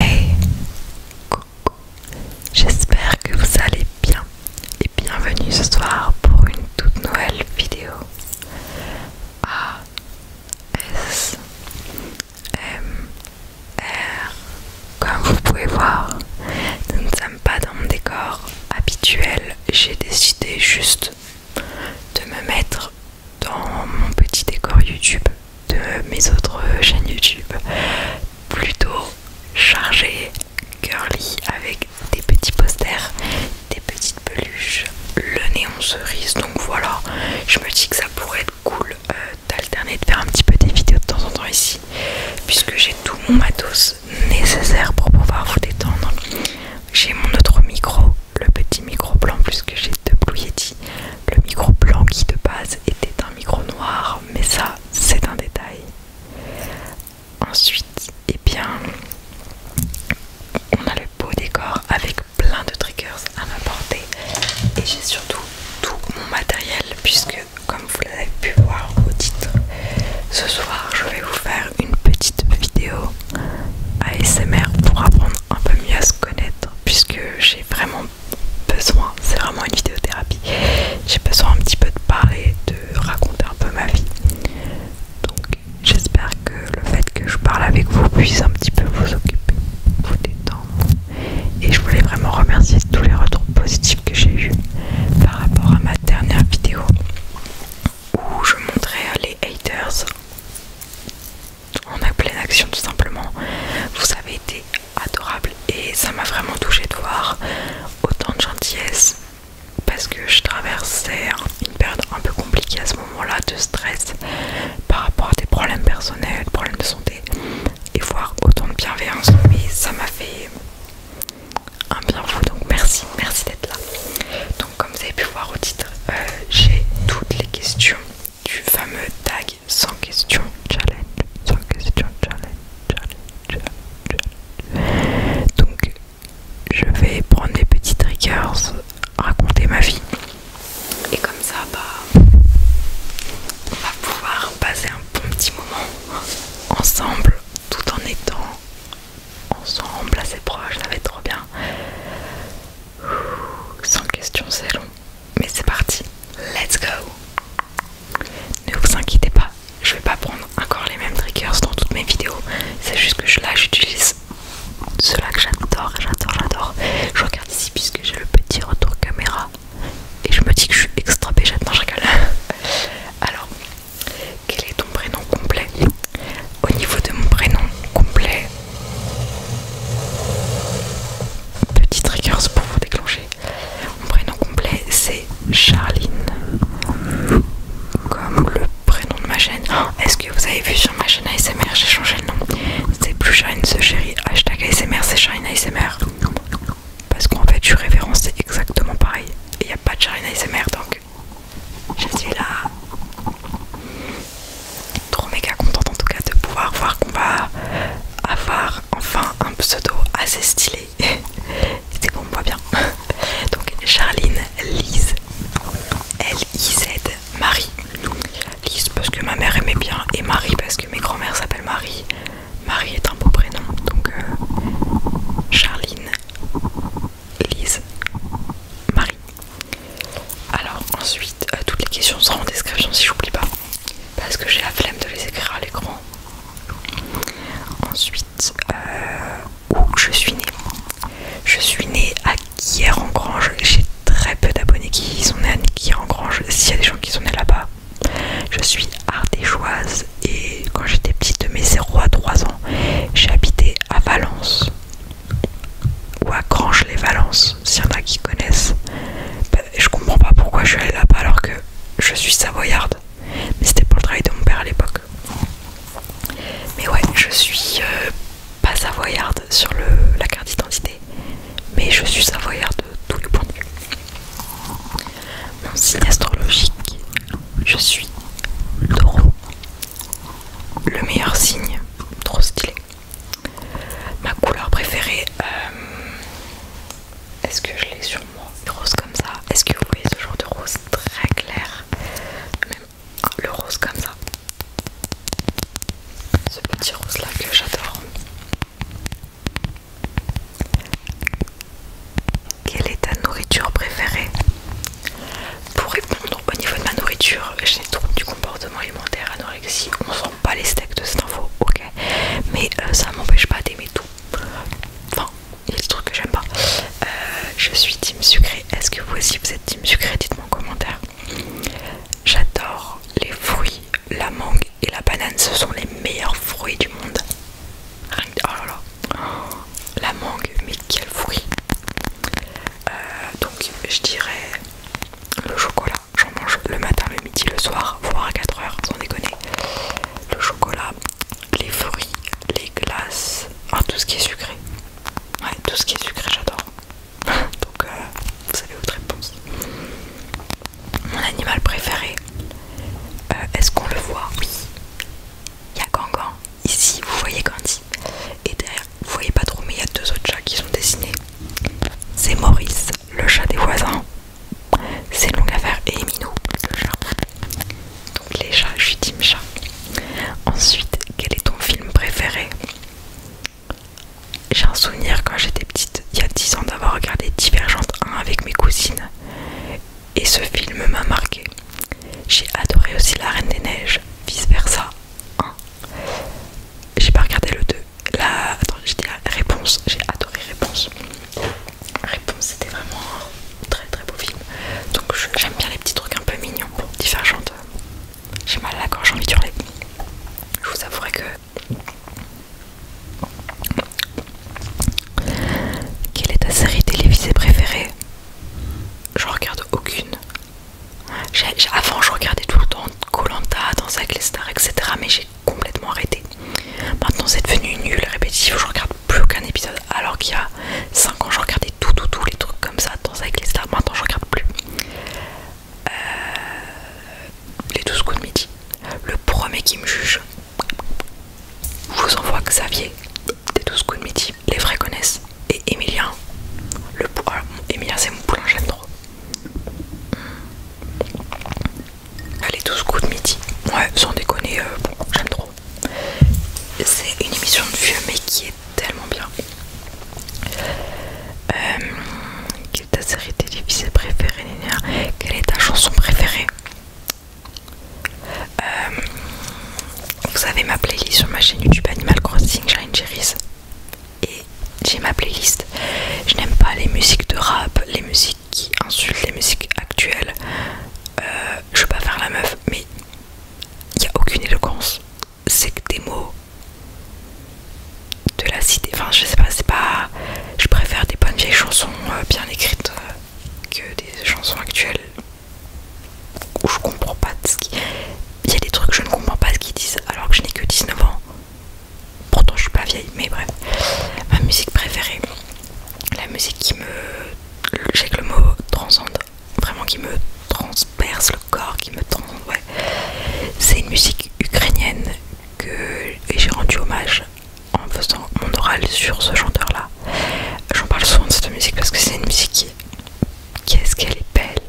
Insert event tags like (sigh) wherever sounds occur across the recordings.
Hey Coucou J'espère que vous allez bien et bienvenue ce soir pour une toute nouvelle vidéo A S M R Comme vous pouvez voir, nous ne sommes pas dans mon décor habituel, j'ai décidé juste de me mettre dans mon petit décor YouTube de mes autres euh, chaînes YouTube plutôt chargé girly, avec des petits posters, des petites peluches, le néon cerise. Donc voilà, je me dis que ça pourrait être cool euh, d'alterner, de faire un petit peu des vidéos de temps en temps ici, puisque j'ai tout mon matos nécessaire pour pouvoir vous détendre. J'ai mon autre micro, le petit micro blanc, plus que j'ai de Blue Yeti. Le micro blanc qui de base était un micro noir, mais ça c'est un détail. Ensuite, et eh bien, on a le beau décor avec plein de triggers à m'apporter et j'ai surtout tout mon matériel puisque comme vous l'avez pu voir au titre, ce soir je vais vous faire une petite vidéo ASMR pour apprendre un peu mieux à se connaître puisque j'ai vraiment besoin, c'est vraiment une vidéothérapie, j'ai besoin un petit peu de parler, de raconter un peu ma vie. Donc j'espère que le fait que je parle avec vous puisse un petit peu vous occuper, vous détendre. Et je voulais vraiment remercier tous les retours positifs que j'ai eu par rapport à ma dernière vidéo où je montrais les haters on a pleine action tout simplement. Vous avez été adorable et ça m'a vraiment touché de voir autant de gentillesse parce que je traversais une période un peu compliquée à ce moment-là de stress par rapport à des problèmes personnels, problèmes de santé et voir autant de bienveillance mais ça m'a fait un bien fou donc merci, merci d'être là. Donc comme vous avez pu voir au titre, euh, j'ai toutes les questions du fameux tag sans question challenge. Sans question challenge, challenge, challenge. Donc je vais prendre des petits triggers, raconter ma vie. Et comme ça, bah, on va pouvoir passer un bon petit moment ensemble tout en étant ensemble assez proche, Ça va être trop bien. Sans question, c'est long. Mais c'est parti, let's go Ne vous inquiétez pas, je vais pas prendre encore les mêmes triggers dans toutes mes vidéos. C'est juste que je, là j'utilise ceux-là que j'adore, j'adore, j'adore. Je regarde ici puisque j'ai le petit retour caméra. Et je me dis que je suis extra péchette, dans je rigole. (laughs) Alors, quel est ton prénom complet Au niveau de mon prénom complet, Petit triggers pour vous déclencher. Mon prénom complet c'est Charline. Comme le prénom de ma chaîne. Oh, est-ce que vous avez vu sur ma chaîne ASMR j'ai changé le nom C'est plus Charline ce chéri. Hashtag ASMR c'est Charline ASMR. Parce qu'en fait je suis c'est exactement pareil. il n'y a pas de Charline ASMR donc je suis là trop méga contente en tout cas de pouvoir voir qu'on va avoir enfin un pseudo assez stylé. (laughs) C'est bon, on voit bien. (laughs) Donc Charline Lise, L-I-Z, Marie. Lise parce que ma mère aimait bien et Marie parce que mes grands-mères s'appellent Marie. Marie est un beau prénom, donc euh, Charline, Lise, Marie. Alors ensuite, euh, toutes les questions seront en description si j'oublie pas, parce que j'ai la flemme de les écrire à l'écran. Ensuite, euh, où je suis née. Je suis née à Guière-en-Grange. J'ai très peu d'abonnés qui sont nés à Guière-en-Grange. S'il y a des gens qui sont nés là-bas, je suis ardéchoise et quand j'étais petite, de mes 0 à 3 ans, j'ai habité à Valence ou à Grange-les-Valences s'il y en a qui connaissent. Bah, je comprends pas pourquoi je suis allée là-bas alors que je suis savoyarde. Mais c'était pour le travail de mon père à l'époque. Mais ouais, je suis euh, pas savoyarde sur le, la carte d'identité, mais je suis savoyarde de tous les points de vue. Mon signe astrologique, je suis taureau. Le meilleur signe, trop stylé. Ma couleur préférée, euh, est-ce que je l'ai sur moi Rose comme ça. Est-ce que vous voyez ce genre de rose très clair le rose comme ça. Ce petit rose là que j'adore. Quelle est ta nourriture préférée Pour répondre au niveau de ma nourriture, j'ai trop du comportement alimentaire, anorexie, on s'en pas les steaks de cette info, ok, mais euh, ça m'empêche pas d'aimer tout. Enfin, il y a des trucs que j'aime pas. Euh, je suis team sucré. Est-ce que vous aussi vous êtes team sucré Dites-moi en commentaire. J'adore les fruits, la mangue et la banane. Ce sont les meilleurs fruits du monde. Oh là là, la mangue, mais quel fruit! Euh, donc, je dirais le chocolat. J'en mange le matin, le midi, le soir, voire à 4 heures, sans déconner. Le chocolat, les fruits, les glaces, tout ce qui est sucré. Ouais, tout ce qui est sucré, j'adore. (laughs) Donc, vous euh, savez votre réponse. Mon animal préféré, euh, est-ce qu'on le voit Oui. Il y a Gangan. Ici, vous voyez Gandhi. Et derrière vous voyez pas trop, mais il y a deux autres chats qui sont dessinés. C'est Maurice, le chat des voisins. C'est longue affaire et Minou, le chat. Donc les chats, je suis team chat. Ensuite, quel est ton film préféré J'ai un souvenir quand j'étais petite, il y a 10 ans, d'avoir regardé Divergente 1 avec mes cousines. Et ce film m'a marqué. J'ai adoré aussi La Reine des Neiges, vice versa J'ai pas regardé le 2, la... j'ai la réponse, j'ai adoré réponse. Réponse, c'était vraiment un très très beau film. Donc j'aime bien les petits trucs un peu mignons, différentes. J'ai mal à la gorge, j'ai envie de hurler. Je vous avouerai que... Quelle est ta série télévisée préférée Je regarde aucune, avant, je regardais tout le temps Colanta, Danse avec les stars, etc. Mais j'ai complètement arrêté. Maintenant, c'est devenu nul, répétitif. Je regarde plus aucun épisode. Alors qu'il y a 5 ans, je regardais tout, tout, tout, les trucs comme ça. Danse avec les stars. Maintenant, je regarde plus. Euh, les 12 coups de midi. Le premier qui me juge, vous envoie Xavier des 12 coups de midi. Les vrais connaissent. Et Emilien. Le, euh, Emilien, c'est mon poulain, j'aime trop. Allez, 12 coups de midi. Ouais, sans déconner, euh, j'aime trop. C'est une émission de vieux, mais qui est tellement bien. Euh, quelle est ta série télévisée préférée, Nina Quelle est ta chanson préférée euh, Vous avez ma playlist sur ma chaîne YouTube Animal Crossing une Cherries et j'ai ma playlist. Je n'aime pas les musiques de rap, les musiques qui insultent, les musiques actuelles. Euh, je veux pas faire la meuf, mais il n'y a aucune éloquence. C'est que des mots de la cité. Enfin, je sais pas, c'est pas. Je préfère des bonnes vieilles chansons euh, bien écrites euh, que des chansons actuelles où je comprends pas de ce qui il y a des trucs que je ne comprends pas ce qu'ils disent alors que je n'ai que 19 ans. Pourtant je suis pas vieille, mais bref. Ma musique préférée, la musique qui me... J'ai que le mot transcende, vraiment qui me transperce le corps, qui me transcende, ouais. C'est une musique ukrainienne que j'ai rendu hommage en faisant mon oral sur ce chanteur-là. J'en parle souvent de cette musique parce que c'est une musique qui... Qu'est-ce qu'elle est belle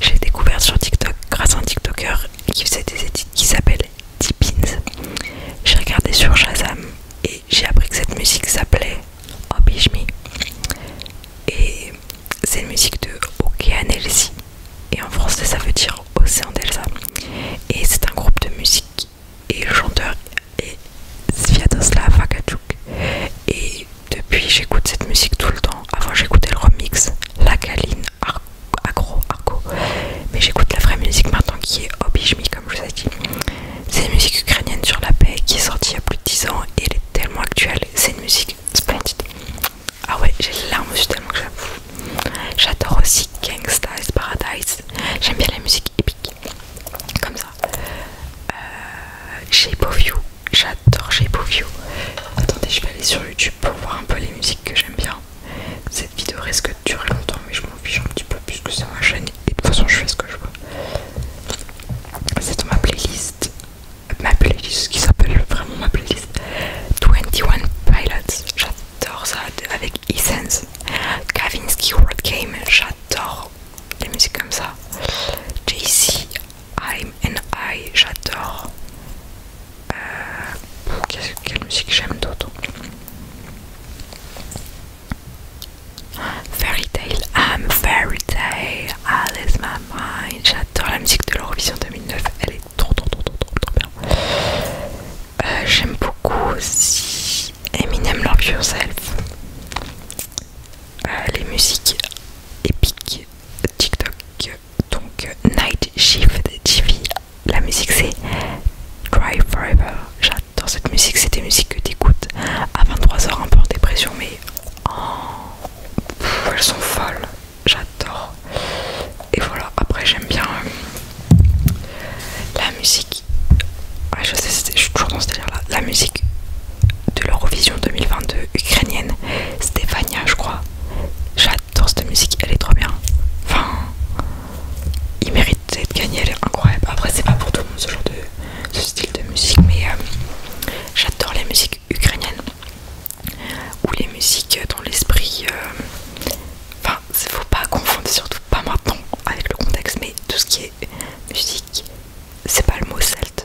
j'ai découvert sur TikTok grâce à un TikToker qui faisait des édits qui s'appelle Tipins. J'ai regardé sur Shazam et j'ai appris que cette musique s'appelait Obishmi. Et c'est une musique de Okean Elsie. Et en français ça veut dire Océan d'Elsa. Et c'est un groupe de musique et le chanteur est Sviatoslav Akachuk Et depuis, j'écoute cette musique tout le temps. Avant, j'écoutais le remix, la galine, agro, arco. Mais j'écoute la vraie musique maintenant qui est Obijmi, comme je vous ai dit. C'est une musique ukrainienne sur la paix qui est sortie il y a plus de 10 ans et elle est tellement actuelle. C'est une musique splendide. Ah ouais, j'ai les larmes suis tellement que j'avoue. J'adore aussi Gangsta's Paradise. J'aime bien la musique épique, comme ça. Shape of You, j'adore JPOView. you Attendez, je vais aller sur YouTube pour voir un peu les musiques que j'aime bien. Cette vidéo risque de durer longtemps, mais je m'en fiche un petit peu puisque c'est ma chaîne et de toute façon je fais ce que je veux. C'est dans ma playlist, ma playlist qui s'appelle vraiment ma playlist 21 Pilots. J'adore ça avec Essence, Kavinsky World Game. J'adore les musiques comme ça. JC I'm and I, j'adore. Euh, quelle musique j'aime d'autre Fairy Tale, I'm Fairy Tale, Alice My Mind. J'adore la musique de l'Eurovision 2009, elle est trop trop trop trop trop, trop bien. Euh, j'aime beaucoup aussi Eminem Love Yourself. Euh, les musiques épiques TikTok. Donc Night Shift TV. La musique c'est Cry Forever. J'adore cette musique. C'est des musiques que t'écoutes à 23h un peu en dépression, mais elles sont folles. J'adore. Et voilà. Après j'aime bien euh, la musique. je sais, je suis toujours dans ce délire là. La musique de l'Eurovision 2022 ukrainienne, Stefania, je crois. J'adore cette musique, elle est trop bien. Enfin, il mérite d'être gagné, elle est incroyable. Après, c'est pas pour tout le monde ce genre de ce style de musique, mais euh, j'adore les musiques ukrainiennes ou les musiques dans l'esprit. Euh, enfin enfin, faut pas confondre, surtout pas maintenant avec le contexte, mais tout ce qui est musique, c'est pas le mot celte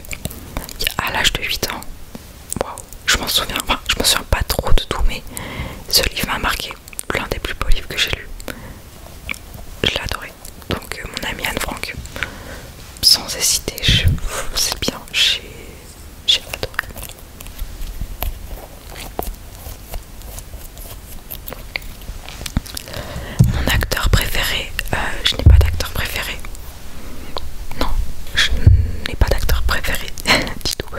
à l'âge de 8 ans. je m'en souviens, je pas trop de tout, mais ce livre m'a marqué. L'un des plus beaux livres que j'ai lu. Je l'ai adoré. Donc, euh, mon ami Anne Frank, sans hésiter, c'est bien, j'ai adoré. Mon acteur préféré, euh, je n'ai pas d'acteur préféré, non, je n'ai pas d'acteur préféré (laughs) du tout.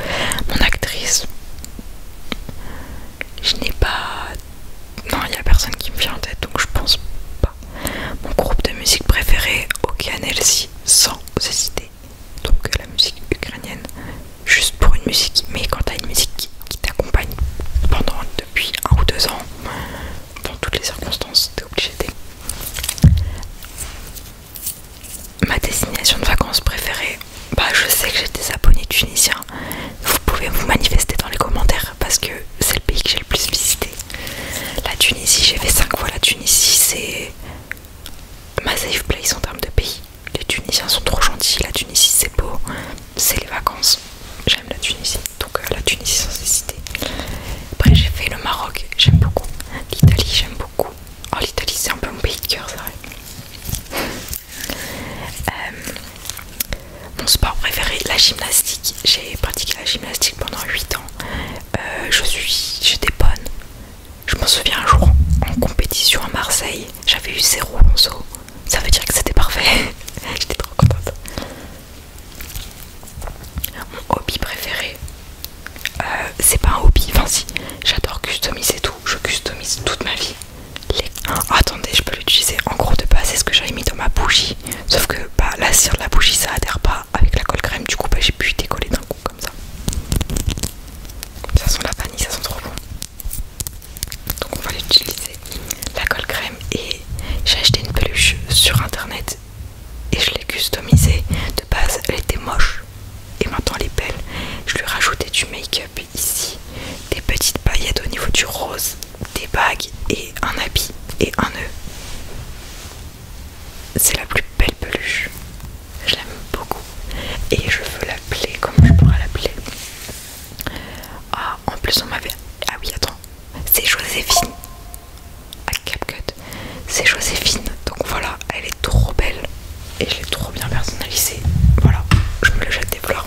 Mon actrice, je n'ai pas. Non, il n'y a personne qui me vient en tête donc je pense pas. Mon groupe de musique préféré, Okanelsi sans hésiter. Donc la musique ukrainienne, juste pour une musique, mais quand t'as une musique qui t'accompagne pendant depuis un ou deux ans, dans toutes les circonstances, t'es obligé Ma destination de vacances préférée, bah je sais que j'ai des abonnés tunisiens. Vous pouvez vous manifester dans les commentaires parce que c'est le pays que j'ai le plus visité. La Tunisie, j'ai fait 5 fois la Tunisie, c'est ma safe place en termes de pays. Les Tunisiens sont trop gentils, la Tunisie c'est beau, c'est les vacances. J'aime la Tunisie, euh, la Tunisie sans Après j'ai fait le Maroc, j'aime beaucoup. L'Italie, j'aime beaucoup. Oh l'Italie c'est un peu mon pays de cœur, c'est vrai. Euh, mon sport préféré, la gymnastique. J'ai pratiqué la gymnastique pendant 8 ans. Euh, je suis, j'étais bonne. Je m'en souviens un jour en compétition à Marseille, j'avais eu 0 en saut. Ça veut dire que c'était parfait. (laughs) j'étais trop contente. Mon hobby préféré, euh, c'est pas un hobby, enfin si, j'adore customiser tout, je customise toute ma vie. Les... attendez, je peux l'utiliser en gros de base, c'est ce que j'avais mis dans ma bougie, sauf que bah, la cire de la bougie ça adhère pas avec la colle crème, du coup bah, j'ai pu décoller d'un coup comme ça. Ça sent la vanille, ça sent trop bon. Donc on va l'utiliser la colle crème et j'ai acheté une peluche sur internet et je l'ai customisée. De base, elle était moche et maintenant elle est belle. Je lui ai rajouté du make-up ici, des petites paillettes au niveau du rose, des bagues et un habit et un nœud. C'est la plus belle peluche. Je l'aime beaucoup et je veux l'appeler. comme je pourrais l'appeler Ah, en plus on m'avait. Ah oui, attends c'est Joséphine à CapCut. C'est Joséphine, donc voilà, elle est trop belle et je l'ai trop bien personnalisée. Voilà, je me le jette des fleurs,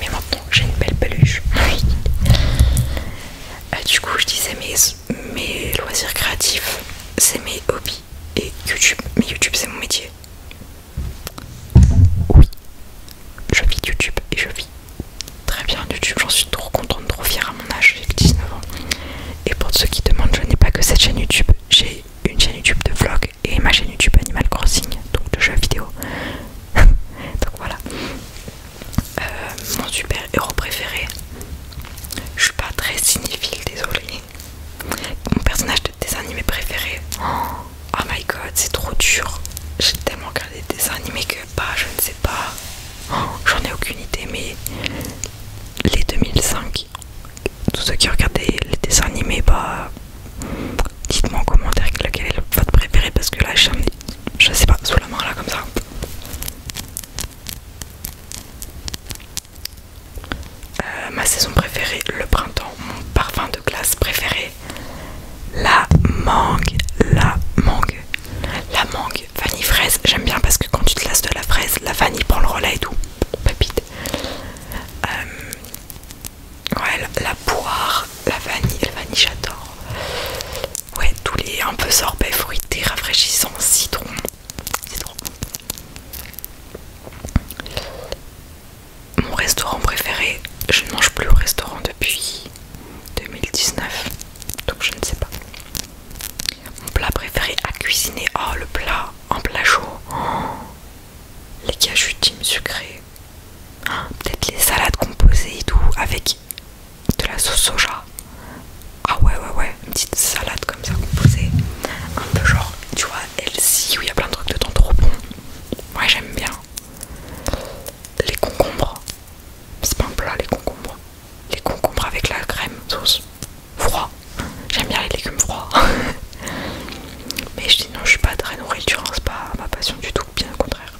mais maintenant j'ai une belle peluche. oui (laughs) euh, du coup, je disais mes loisirs créatifs, c'est mes hobbies et YouTube. Mais YouTube, c'est mon métier. Oui, je vis YouTube et je vis très bien YouTube, j'en suis trop contente, trop fière à mon âge, j'ai 19 ans. Et pour ceux qui demandent, je n'ai pas que cette chaîne YouTube, j'ai une chaîne YouTube de vlog et ma chaîne YouTube Animal Crossing, donc de jeux vidéo. (laughs) donc voilà. Euh, mon super héros préféré. Je suis pas très cinéphile, désolé. Mon personnage de dessin animé préféré. Oh, oh, my god, c'est trop dur. J'ai tellement regardé des dessins animés que bah je ne sais bah, (gasps) j'en ai aucune idée, mais les 2005, tous ceux qui regardaient les dessins animés, bah dites-moi en commentaire lequel est votre préféré parce que là je, je sais pas, sous la main là comme ça. Euh, ma saison préférée, le printemps, mon parfum de glace préféré, la mangue, la mangue, la mangue, vanille fraise. J'aime bien parce que quand tu te lasses de la fraise, la vanille prend le relais et tout. Pépite. Euh, ouais, la, poire, la vanille, la vanille, j'adore. Ouais, tous les un peu sorbet fruité, rafraîchissant, citron. Citron. Mon restaurant préféré, je ne mange plus au restaurant depuis 2019. Donc je ne sais pas. Mon plat préféré à cuisiner. Oh le plat en plat chaud. Oh, les cachoutimes sucrées. Oh, peut-être les salades composées et tout avec de la sauce soja. Ah ouais ouais ouais. Une petite salade comme ça composée. Un peu genre, tu vois, Elsie où il y a plein de trucs dedans trop bon. Ouais j'aime bien les concombres. C'est pas un plat les concombres. Les concombres avec la crème sauce froid. J'aime bien les légumes froids. (laughs) Mais je dis non, je suis pas très nourriture, hein. c'est pas ma passion du tout, bien au contraire.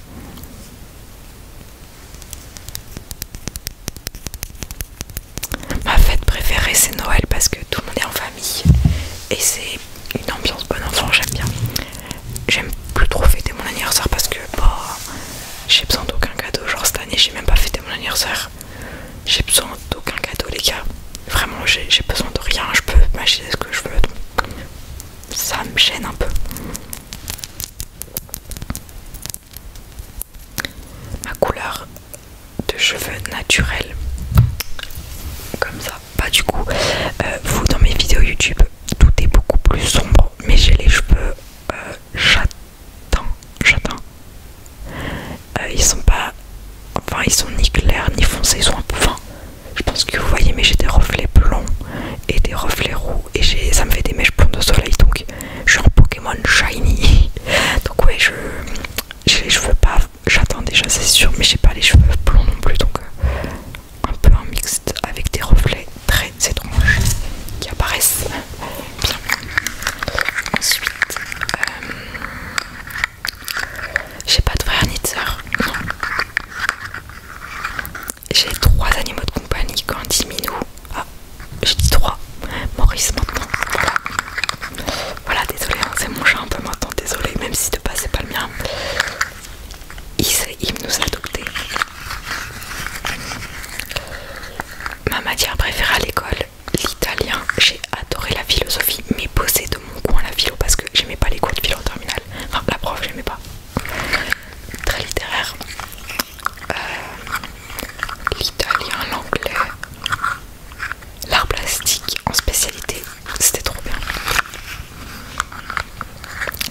Ma fête préférée c'est Noël parce que tout le monde est en famille et c'est une ambiance bon enfant, j'aime bien j'aime plus trop fêter mon anniversaire parce que bah, j'ai besoin d'aucun cadeau. Genre cette année, j'ai même pas fêté mon anniversaire. J'ai besoin d'aucun cadeau, les gars. Vraiment, j'ai besoin de rien. Je peux m'acheter ce que je veux. ça me gêne un peu. Ma couleur de cheveux naturel comme ça pas bah, du coup. Euh, vous, dans mes vidéos YouTube, tout est beaucoup plus sombre, mais j'ai les cheveux j'attends, euh, j'attends, euh, ils sont pas. Enfin, ils sont ni clairs ni foncés, ils sont un peu. fins je pense que vous voyez, mais j'ai des reflets blonds et des reflets roux, et j'ai ça me fait des mèches blondes de soleil, donc je suis en Pokémon shiny. (laughs) donc, ouais, je. J'ai les cheveux pas. J'attends déjà, c'est sûr, mais j'ai pas les cheveux blonds non plus, donc un peu en mixte avec des reflets très étranges qui apparaissent bien. Ensuite, euh, j'ai pas de frère ni de sœur, J'ai trois animaux de compagnie, Candy, Minou, ah, j'ai dit trois, Maurice maintenant, voilà. désolé, hein, c'est mon chat un peu maintenant, désolé, même si de pas, c'est pas le mien il, nous a Ma matière préférée à l'école, l'italien. J'ai adoré la philosophie, mais bossé de mon coin la philo parce que j'aimais pas les cours de philo en terminale. Enfin, la prof, j'aimais pas. Très littéraire. Euh, l'italien, l'anglais, l'art plastique en spécialité, c'était trop bien.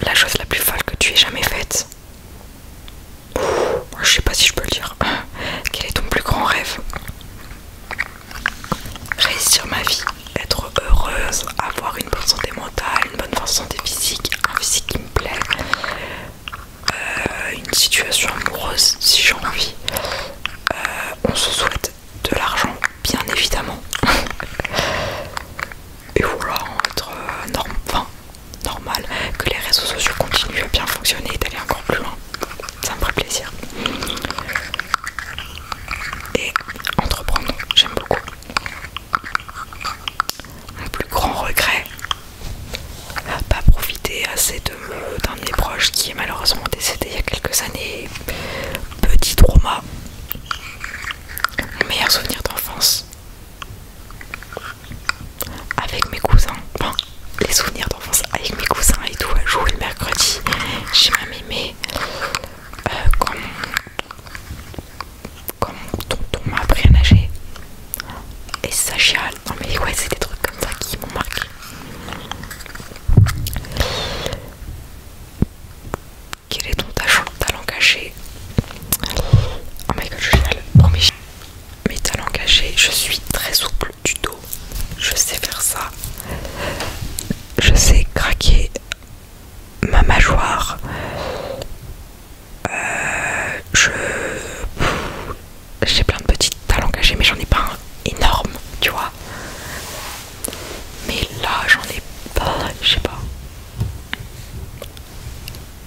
La chose la plus folle que tu aies jamais faite. Je sais pas si je peux le dire. (coughs) Quel est ton plus grand rêve Réussir ma vie, être heureuse, avoir une bonne santé mentale, une bonne santé physique, un physique qui me plaît, euh, une situation amoureuse si j'ai envie. Euh, on se souhaite de l'argent, bien évidemment. (laughs) et vouloir entre euh, normal, que les réseaux sociaux continuent à bien fonctionner et d'aller encore plus loin. Ça me ferait plaisir. Et entreprendre, j'aime beaucoup. Mon plus grand regret, pas profiter assez d'un de mes proches qui est malheureusement décédé il y a quelques années. Petit trauma mes meilleur souvenir d'enfance avec mes cousins, enfin les souvenirs d'enfance avec mes cousins et tout, jour euh, jouer le mercredi chez ma mémé. Euh, quand, mon, tonton m'a appris à nager et ça chiale, non mais ouais, c'est des trucs comme ça qui m'ont marqué. Quel est ton talent caché Oh my god, je mes, oh, mes talents cachés, je suis très souple du dos. Je sais faire ça. Je sais craquer ma mâchoire. Euh, je. J'ai plein de petits talents cachés, mais j'en ai pas un énorme, tu vois. Mais là, j'en ai pas, je sais pas.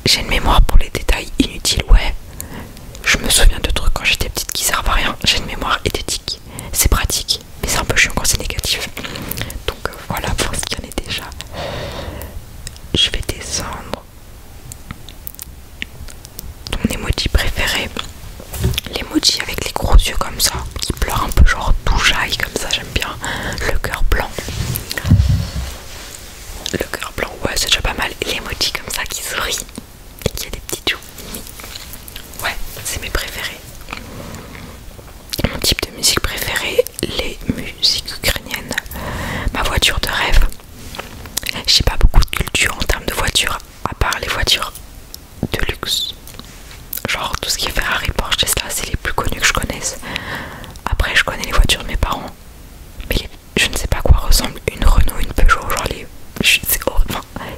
J'ai une mémoire pour les détails inutiles, ouais. Je me souviens de trucs quand j'étais petite qui servent à rien. J'ai une mémoire esthétique, c'est pratique, mais c'est un peu chiant quand c'est négatif. Donc euh, voilà pour ce qu'il y en est déjà. Je vais descendre. Ton emoji préféré L'emoji avec les gros yeux comme ça, qui pleure un peu genre tout jaille comme ça j'aime bien. Le cœur blanc. Le cœur blanc, ouais, c'est déjà pas mal. les L'emoji comme ça qui sourit et qui a des petits joues. Ouais, c'est mes préférés. Mon type de musique préférée, les musiques ukrainiennes. Ma voiture de rêve. J'ai pas beaucoup de culture en termes de voiture, à part les voitures de luxe. Genre tout ce qui est Ferrari, Porsche, Tesla, c'est les plus connus que je connaisse. Après, je connais les voitures de mes parents. Mais je ne sais pas quoi ressemble une Renault, une Peugeot. Genre les.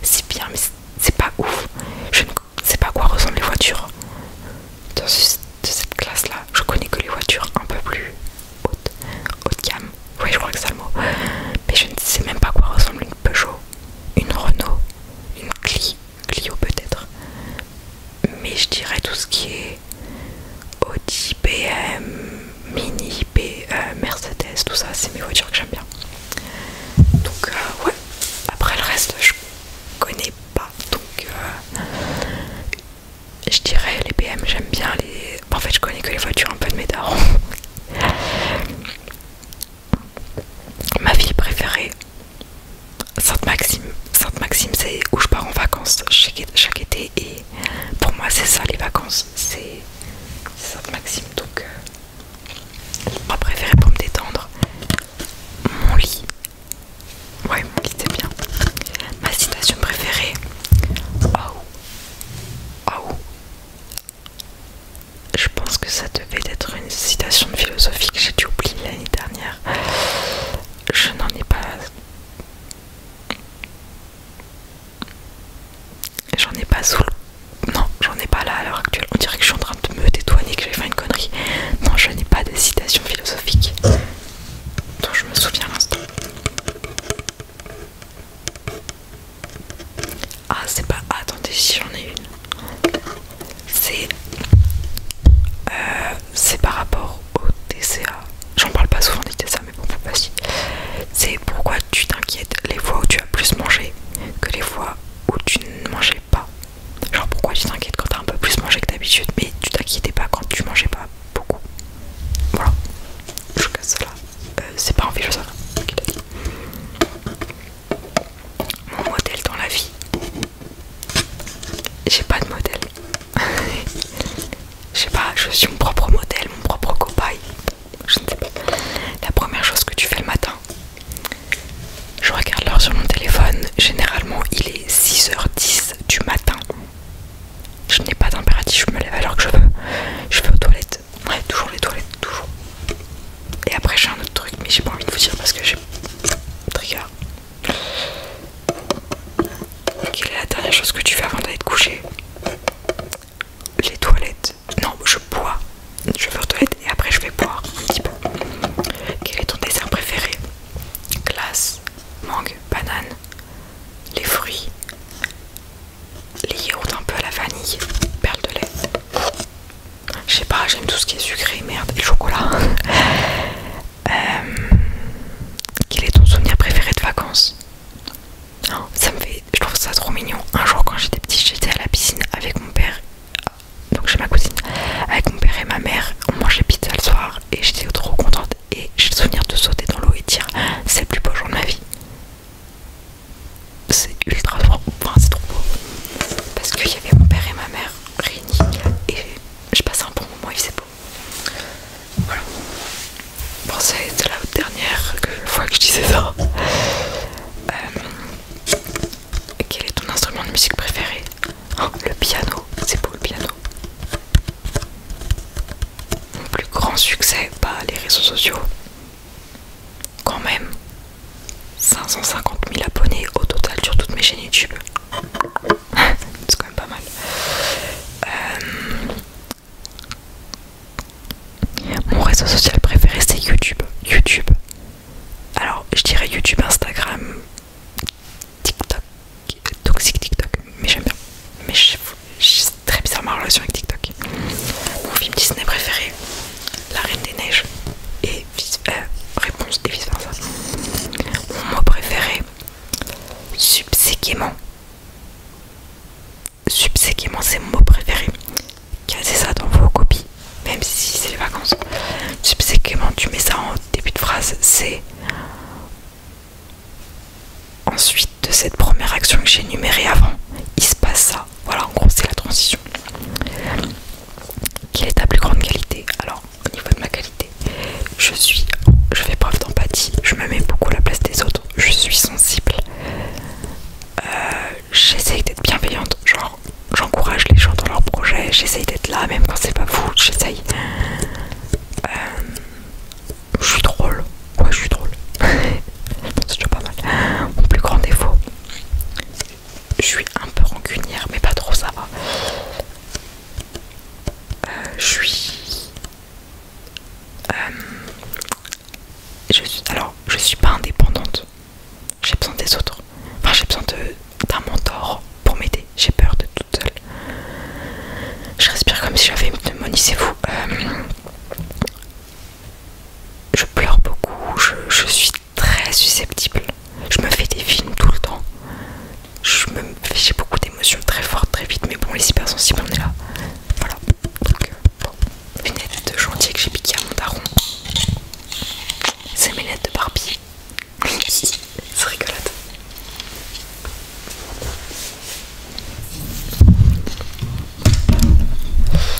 C'est bien, mais c'est pas ouf. Je ne sais pas quoi ressemblent les voitures. de cette classe-là, je connais que les voitures un peu plus hautes, haut de gamme. Oui, je crois que c'est le mot. Mais je ne sais même pas quoi ressemble une Peugeot, une Renault, une Clio, Clio peut-être. Mais je dirais tout ce qui est Audi, BM, Mini, euh, Mercedes, tout ça, c'est mes voitures que j'aime bien. Donc euh, ouais, après le reste je connais pas. Donc euh, je dirais les BM j'aime bien les... En fait je connais que les voitures un peu de mes Ma ville préférée, Sainte-Maxime. Sainte-Maxime, c'est où je pars en vacances chaque, été. Et pour moi, c'est ça les vacances. C'est Sainte-Maxime. Donc, euh, ma préférée pour me détendre. Mon lit. Ouais, mon lit, c'est bien. Ma citation préférée je pense que ça devait être une citation philosophique, que j'ai dû oublier l'année dernière. Je n'en ai pas. J'en ai pas sous le. Non, j'en ai pas là à l'heure actuelle. On dirait que je suis en train de me et que j'ai fait une connerie. Non, je n'ai pas de citation philosophique dont je me souviens l'instant. Ah, c'est pas. Ah, attendez, si j'en ai une. Euh, c'est par rapport au TCA. J'en parle pas souvent du TCA, mais bon, faut pas C'est pourquoi tu t'inquiètes les fois où tu as plus mangé que les fois où tu ne mangeais pas. Genre, pourquoi tu t'inquiètes quand t'as un peu plus mangé que d'habitude, mais tu t'inquiétais pas quand tu mangeais pas beaucoup. Voilà, je casse euh, c'est pas envie je mon modèle dans la vie. J'ai pas de modèle. (laughs) Je sais pas, je suis mon propre modèle, mon propre copain. Je ne sais pas. La première chose que tu fais le matin, je regarde l'heure sur mon téléphone. Généralement, il est 6h10 du matin. Je n'ai pas d'impératif, je me lève l'heure que je veux. Je vais aux toilettes. Ouais, toujours les toilettes, toujours. Et après j'ai un autre truc mais j'ai pas envie de vous dire parce que j'ai trigger. Quelle est la dernière chose que tu fais avant d'aller te coucher Les toilettes. Non, je bois. Je vais aux toilettes et après je vais boire Quel est ton dessin préféré Glace, mangue, banane, les fruits, les yaourts un peu à la vanille, perles de lait. Je sais pas, j'aime tout ce qui est sucré, merde, et chocolat. (laughs) Euh, quel est ton souvenir préféré de vacances Ça me fait, je trouve ça trop mignon. Un jour, quand j'étais petite, j'étais à la piscine avec mon père, donc chez ma cousine, avec mon père et ma mère. On mangeait pizza le soir et j'étais trop contente. Et j'ai le souvenir de sauter dans l'eau et dire c'est le plus beau jour de ma vie c'est ultra fort, c'est trop beau parce qu'il y avait mon père et ma mère réunis et je passe un bon moment, il c'est beau. Voilà. Bon, été la dernière fois que je disais ça. Euh, quel est ton instrument de musique préféré oh, Le piano, c'est beau le piano. Mon plus grand succès, pas bah, les réseaux sociaux quand même 550 000 abonnés au total sur toutes mes chaînes YouTube. (laughs) C'est quand même pas mal. Euh, mon réseau social préféré c'est YouTube. YouTube. Alors je dirais YouTube, Instagram, TikTok, toxique TikTok, mais j'aime bien. Mais suis très bizarre ma relation avec TikTok. Mon film Disney préféré, La Reine des Neiges. Et euh, réponse et vice versa. Mon mot préféré, subséquemment. Subséquemment, c'est mon mot préféré. cassez ça dans vos copies, même si c'est les vacances. Subséquemment, tu mets ça en début de phrase, c'est ensuite de cette première action que j'ai énumérée avant. Il se passe ça. Voilà, en gros, c'est la transition. Quelle est ta plus grande qualité Alors, au niveau de ma qualité, je suis, je fais preuve d'empathie, je me mets beaucoup à la place des autres, je suis sensible. Euh, j'essaye d'être bienveillante, genre j'encourage les gens dans leurs projets, j'essaye d'être là même quand c'est pas fou, j'essaye. Euh, je suis drôle, ouais je suis drôle, (laughs) c'est toujours pas mal. Mon plus grand défaut, je suis un peu rancunière, mais pas trop, ça va. Euh, je suis. Euh, je suis. Alors, je suis pas indépendante. J'ai besoin des autres. Enfin, j'ai besoin d'un mentor pour m'aider. J'ai peur de toute seule. Je respire comme si j'avais une pneumonie, c'est vous. Euh, je pleure beaucoup, je, je suis très susceptible. Je me fais des films tout le temps. Je J'ai beaucoup d'émotions très fortes, très vite, mais bon, les hypersensibles, on est là. Voilà. Donc, euh, bon. Une de gentil que j'ai piqué à mon daron. C'est mes lettres de Barbie. C'est rigolote.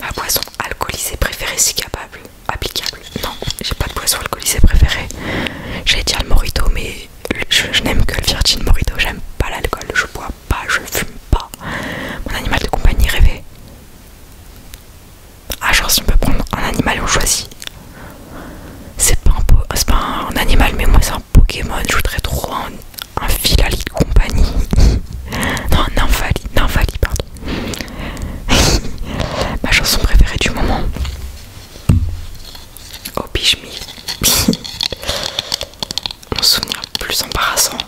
Ma boisson alcoolisée préférée si capable. Applicable. Non, j'ai pas de boisson alcoolisée préférée. J'ai dire le morito, mais je, n'aime que le virgin morito. J'aime pas l'alcool, je bois pas, je fume pas. Mon animal de compagnie rêvé. Ah, genre si on peut prendre un animal, on choisit. C'est pas, un, pas animal, mais moi c'est un Pokémon. Je voudrais trop un un filali de compagnie. (laughs) non, un infali pardon. (laughs) Ma chanson préférée du moment. Oh (laughs) Bichmi. Mon souvenir le plus embarrassant.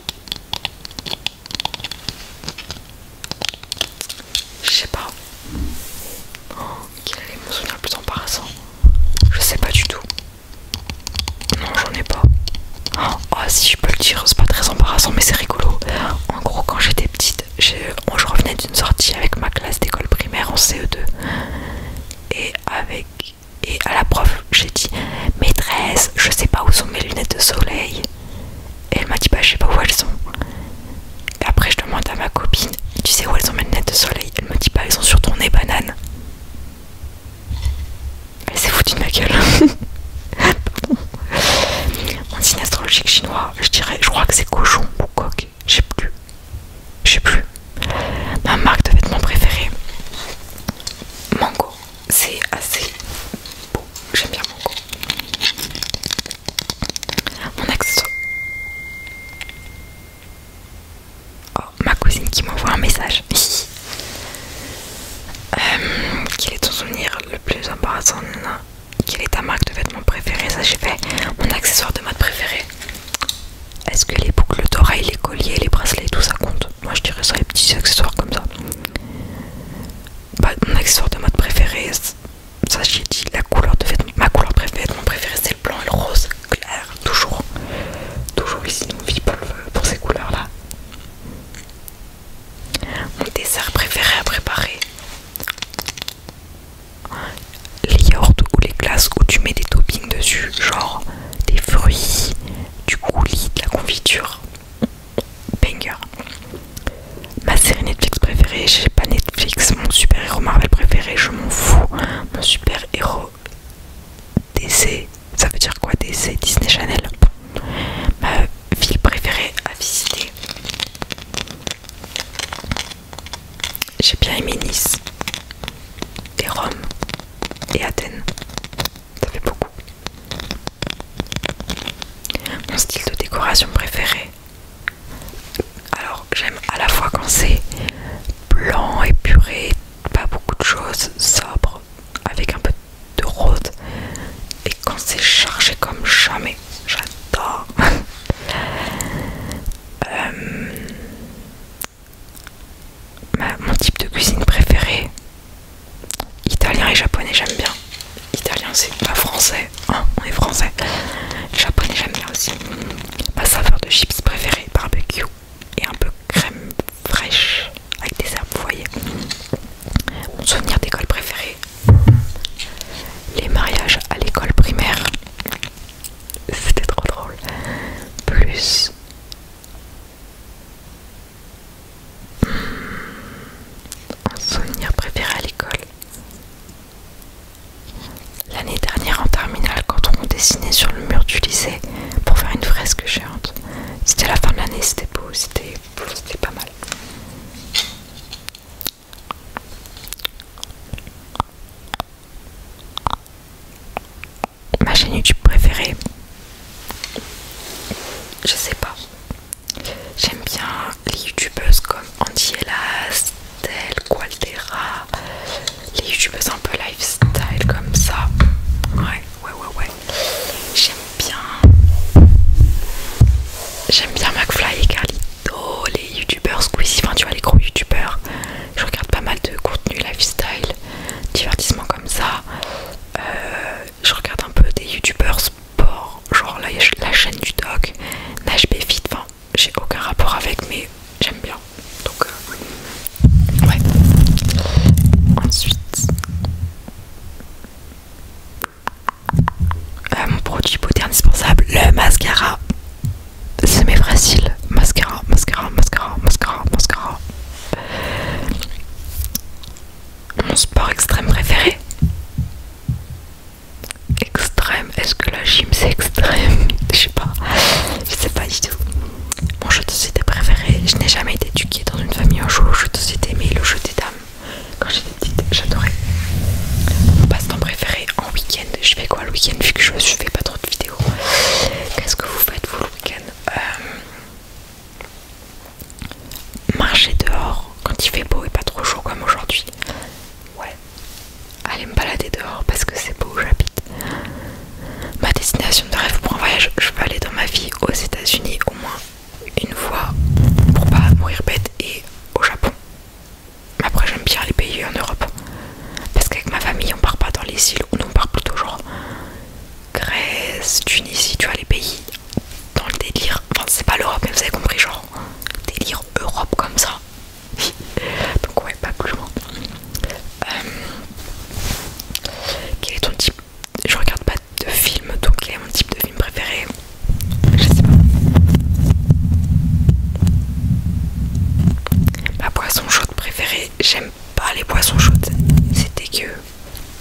Je sais pas. Oh, quel est mon souvenir plus embarrassant Je sais pas du tout. Non, j'en ai pas. Oh, si je peux le dire, c'est pas très embarrassant, mais c'est rigolo. En gros, quand j'étais petite, je, revenais d'une sortie avec ma classe d'école primaire en CE2. Et avec. Et à la prof, j'ai dit Maîtresse, je sais pas où sont mes lunettes de soleil. Et elle m'a dit Bah, je sais pas où elles sont. après, je demande à ma copine Tu sais où elles sont mes lunettes de soleil Elle me dit pas bah, elles sont sur ton nez, banane. Elle s'est foutue de ma gueule. Mon (laughs) signe astrologique chinois, je dirais, je crois que c'est cochon ou coq. Je sais plus. Je sais plus. Ma marque de vêtements préférée, Mango. C'est assez beau. J'aime bien Mango. Mon accessoire. Oh, ma cousine qui m'envoie un message. (laughs) Euh, quel est ton souvenir le plus embarrassant Quelle est ta marque de vêtements préférée Ça j'ai fait mon accessoire de mode préféré. Est-ce que les boucles d'oreilles, les colliers, les bracelets, tout ça compte Moi je dirais ça les petits accessoires comme ça. Bah, mon accessoire de mode préféré, ça j'ai dit la couleur de vêtements. Ma couleur préférée, mon préférée c'est le blanc et le rose clair, toujours. Toujours ici on vit pour ces couleurs là. Mon dessert préféré à préparer les yaourts ou les glaces où tu mets des toppings dessus, genre des fruits, du coulis, de la confiture. Banger. Ma série Netflix préférée, j'ai pas Netflix. Mon super héros Marvel préféré, je m'en fous. Mon super héros DC, ça veut dire quoi DC Disney Channel. Ma ville préférée à visiter. J'ai bien aimé Nice, et Rome, et Athènes. Ça fait beaucoup. Mon style de décoration préféré. Alors j'aime à la fois quand c'est blanc, épuré, pas beaucoup de choses, sobre, avec un peu de rose et quand c'est chargé comme jamais j'adore (laughs) euh, mon type de cuisine préféré italien et japonais j'aime bien italien c'est pas français hein, on est français japonais j'aime bien aussi ma saveur de chips préférée barbecue et un peu crème fraîche avec des herbes, vous voyez. Mon souvenir d'école préféré, les mariages à l'école primaire, c'était trop drôle. Plus hmm, un souvenir préféré à l'école. L'année dernière en terminale, quand on dessinait sur le mur du lycée pour faire une fresque géante, c'était la fin de l'année, c'était beau, c'était pas mal. Ma chaîne YouTube préférée, je sais pas. J'aime bien les youtubeuses comme Andy Elas, Del les youtubeuses un peu lifestyle comme ça. Ouais ouais, ouais, ouais. J'aime bien. J'aime bien McFly et Carlito, les youtubeurs Squeezie, enfin tu vois, les gros youtubeurs. Je regarde pas mal de contenu lifestyle, divertissement comme ça. Euh, je regarde un peu des youtubeurs sport, genre la, chaîne du doc, Nash Fit, enfin j'ai aucun rapport avec, mais j'aime bien. Donc, euh, Ouais. Ensuite, euh, mon produit beauté indispensable, le mascara. C'est mes facile. Mascara, mascara, mascara, mascara, mascara. Mon sport extrême préféré. Extrême, est-ce que la gym c'est extrême (laughs) Je sais pas, je sais pas du tout. Mon jeu de société préféré, je n'ai jamais été éduquée dans une famille en jeu Je de société, mais le jeu des dames. Quand j'étais petite, j'adorais. Mon passe-temps préféré en week-end, je fais quoi le week-end vu que je ne fais pas trop de vidéos Qu'est-ce que vous faites vous le week-end euh, Marcher dehors quand il fait beau et pas trop chaud comme aujourd'hui. Ouais. Aller me balader dehors parce que c'est beau où j'habite. Ma destination de rêve pour un voyage, je veux aller dans ma vie aux États-Unis au moins une fois pour pas mourir bête et au Japon. Mais après, j'aime bien les pays en Europe parce qu'avec ma famille, on part pas dans les îles, on part plutôt genre Grèce, Tunisie, tu vois, les pays dans le délire. Enfin, c'est pas l'Europe, mais vous avez compris, genre délire Europe comme ça. (laughs) Donc, ouais, pas plus loin. Euh, quel est ton type Je regarde pas de film, donc quel est mon type de film préféré Je sais pas. Ma boisson chaude préférée, j'aime pas les boissons chaudes, c'était que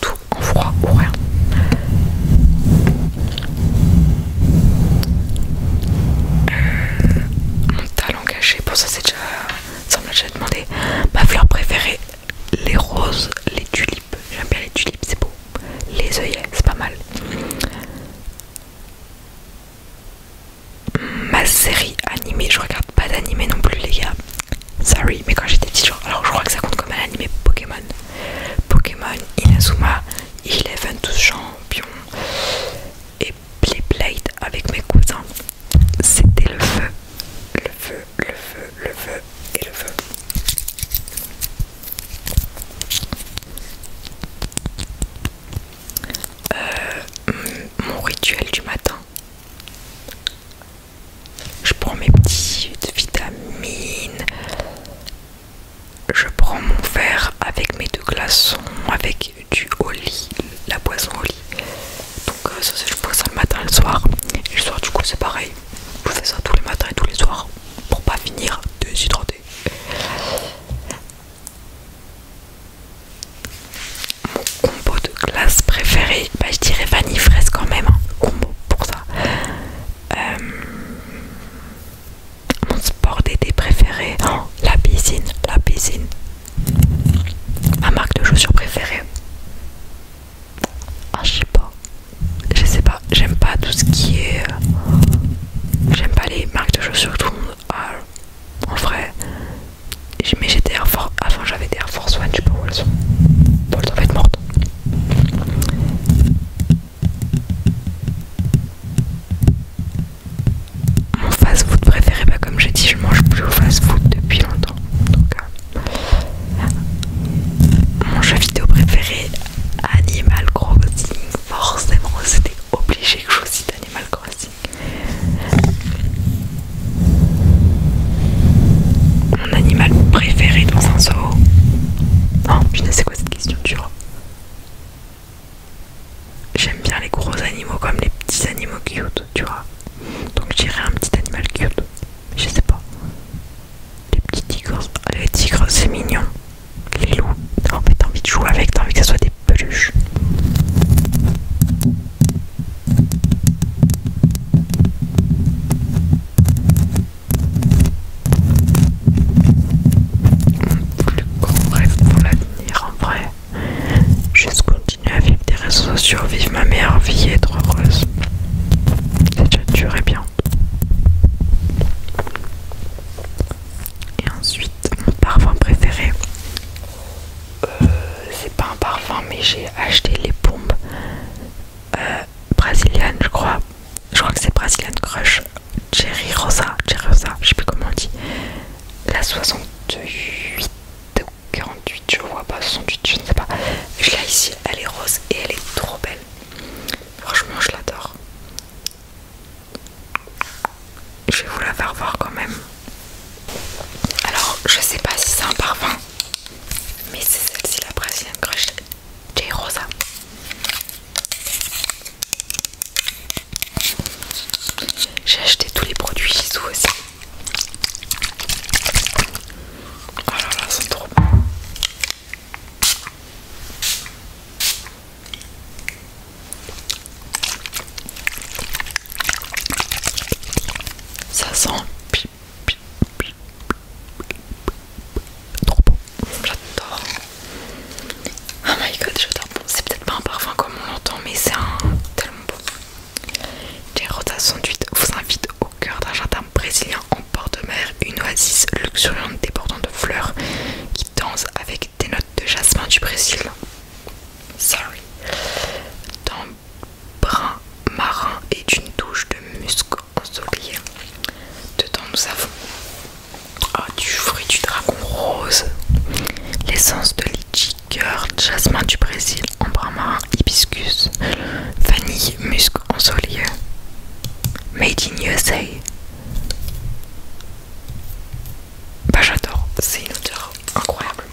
tout en froid ou rien. Euh, mon talent caché, pour ça c'est déjà ça me l'a déjà demandé. Ma fleur préférée, les roses, les tulipes. J'aime bien les tulipes, c'est beau. Les œillets, c'est pas mal. Ma série animée, je regarde pas d'animé non plus, les gars. Sorry, mais quand j'étais petit genre, alors je crois que ça compte comme un animé Pokémon. Pokémon, Inazuma, est tous champions. Et Playblade avec mes cousins c'était le feu, le feu, le feu, le feu et le feu. Euh, mon rituel du matin. Je prends mes petites vitamines. Je prends mon verre avec mes deux glaçons, avec du au lit, la boisson au lit. Donc euh, ça c'est je fais ça le matin et le soir. Et le soir du coup c'est pareil. Je fais ça tous les matins et tous les soirs pour pas finir s'hydrater. Mon combo de glace préféré, bah, je dirais vanille fraise quand même. Hein. Combo pour ça. Euh, mon sport d'été préféré, hein, la piscine, la piscine, Ma marque de chaussures préférée Ah je sais pas. Je sais pas. J'aime pas tout ce qui est... Euh, j'aime pas les marques de chaussures tout le monde En vrai. Mais j'étais Air Force... Avant j'avais des Air Force One, je sais pas où elles sont. elles être mortes mon fast-food préféré. Bah, comme j'ai dit, je mange plus au fast-food depuis longtemps. Euh, mon jeu vidéo préféré, Animal Crossing. Forcément, c'était obligé que je cite Animal Crossing. Mon animal préféré dans un zoo. Non, oh, je ne sais quoi cette question tu vois. J'aime bien les gros animaux comme les petits animaux cute, tu vois. Donc j'irai un petit animal cute. Je sais pas. Les petits tigres. Les tigres, c'est mignon. Les loups. t'as envie de jouer avec, t'as envie que ça soit des peluches. Mon plus grand rêve pour l'avenir en vrai Juste continuer à vivre des réseaux sociaux, vivre ma meilleure vie et être heureuse. Déjà et bien. Et ensuite, mon parfum préféré. Euh, c'est pas un parfum, mais j'ai acheté les pompes euh, brésiliennes, je crois. Je crois que c'est Brazilian Crush Cherry Rosa, Cherry Rosa, je sais plus comment on dit. La 68 48 je vois pas 68 je ne sais pas je l'ai ici elle est rose et elle est trop belle franchement je l'adore je vais vous la faire voir quand même alors je sais pas si c'est un parfum mais c'est celle-ci la Brazilian Crush J Rosa j'ai acheté tous les produits sous aussi Oh là c'est trop bon. Ça sent trop J'adore. Oh my god, j'adore. c'est peut-être pas un parfum comme on l'entend, mais c'est un tellement beau. Les rotations vous invite au cœur d'un jardin brésilien en bord de mer, une oasis luxuriante débordant de fleurs qui danse avec des notes de jasmin du Brésil. Sorry. D'un brun marin et d'une douche de musc De Dedans nous avons oh, du fruit du dragon rose, l'essence de litchi Cœur, jasmin du Brésil, ambre marin, hibiscus, vanille, musc, ensoleillé. Made in USA. Bah j'adore, c'est une odeur incroyable.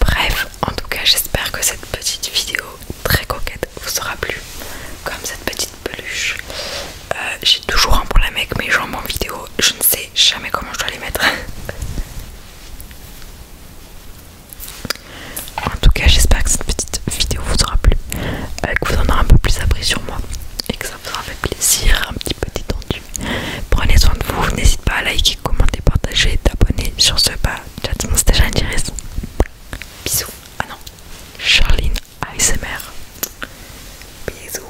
Bref, en tout cas, j'espère que cette petite vidéo très coquette vous aura plu, comme cette petite peluche. Euh, j'ai toujours un problème avec mes jambes en vidéo, je ne sais jamais comment je dois les mettre. (laughs) En tout cas, j'espère que cette petite vidéo vous aura plu, euh, que vous en aurez un peu plus appris sur moi et que ça vous aura fait plaisir, un petit peu détendu. Prenez soin de vous, n'hésitez pas à liker, commenter, partager, t'abonner sur ce pas. Chat, déjà intéressant. Bisous. Ah non, Charline ASMR. Bisous.